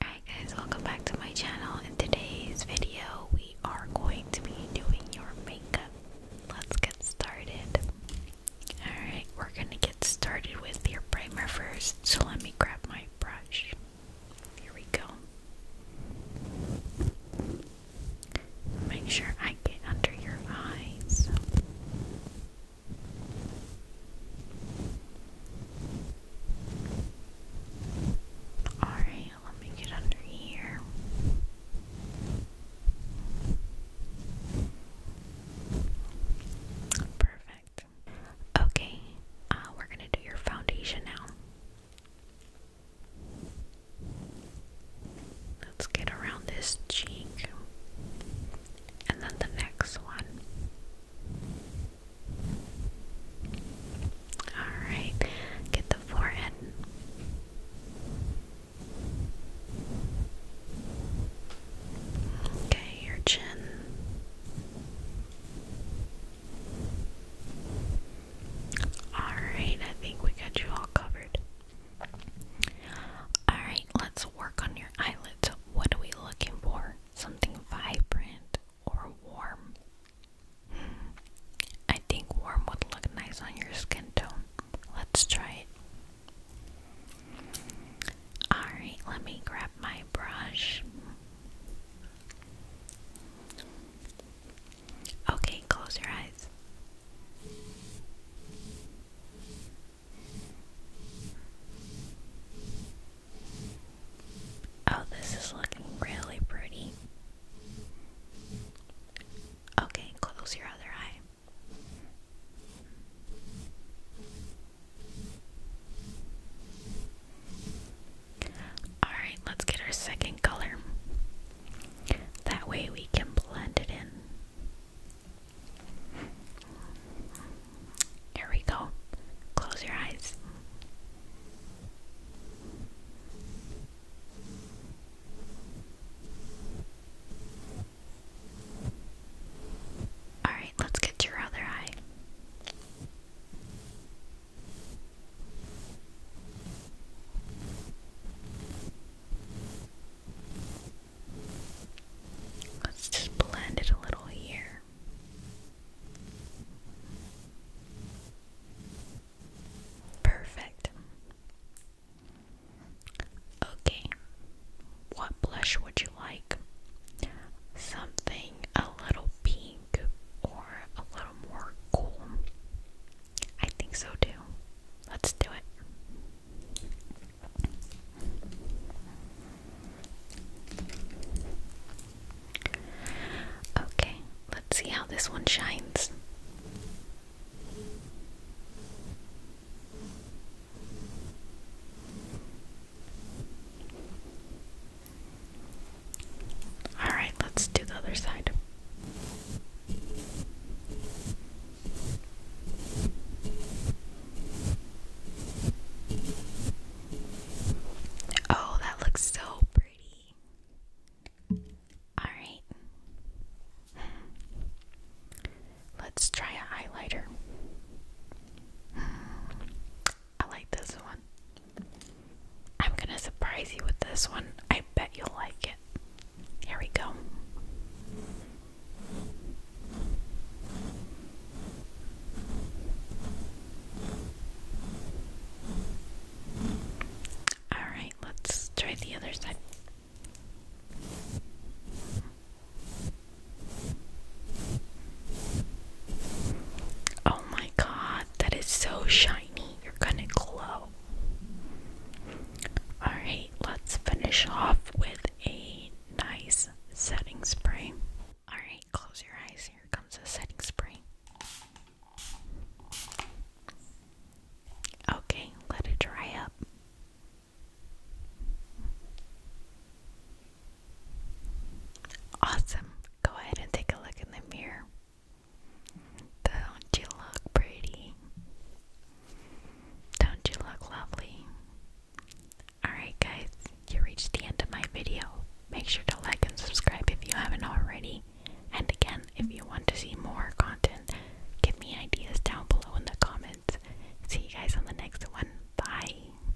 Alright guys, welcome back to my channel. In today's video, we are going to be doing your makeup. Let's get started. Alright, we're gonna get started with your primer first. So let me grab my brush. Here we go. Make sure I get under your eyes. Alright, let me get under here. Perfect. Okay, uh, we're going to do your foundation now. Let's get around this cheek and then the next one. Alright, get the forehead. Okay, your chin. Alright, I think we got you all covered. Alright, let's work on your eyelids. What are we looking for? Something vibrant or warm? Hmm, I think warm would look nice on your skin tone. Let's try it. Alright, let me grab my brush. Okay, close your eyes. Oh, this is looking really pretty. Okay, close your other eye. Alright, let's get our second color. That way we can blend it in. Here we go. Close your eyes. All right, let's get your other eye. Let's just blend it a little here. Perfect. Okay, what blush would you like? Something a little pink or a little more cool. I think so too. Let's do it. Okay, let's see how this one shines. All right, let's do the other side. Oh, that looks so pretty. All right. Let's try a highlighter. I like this one. I'm gonna surprise you with this one. I bet you'll like it. Here we go. Alright, let's try the other side. Oh my god, that is so shiny. You're gonna glow. Alright, let's finish off with a nice setting spray. Alright, close your eyes. Here comes the setting spray. Okay, let it dry up. Awesome. Go ahead and take a look in the mirror. Don't you look pretty? Don't you look lovely? Alright, guys, you reached the end of my video. Make sure to like and subscribe if you haven't already. And again, if you want to see more content, give me ideas down below in the comments. See you guys on the next one. Bye.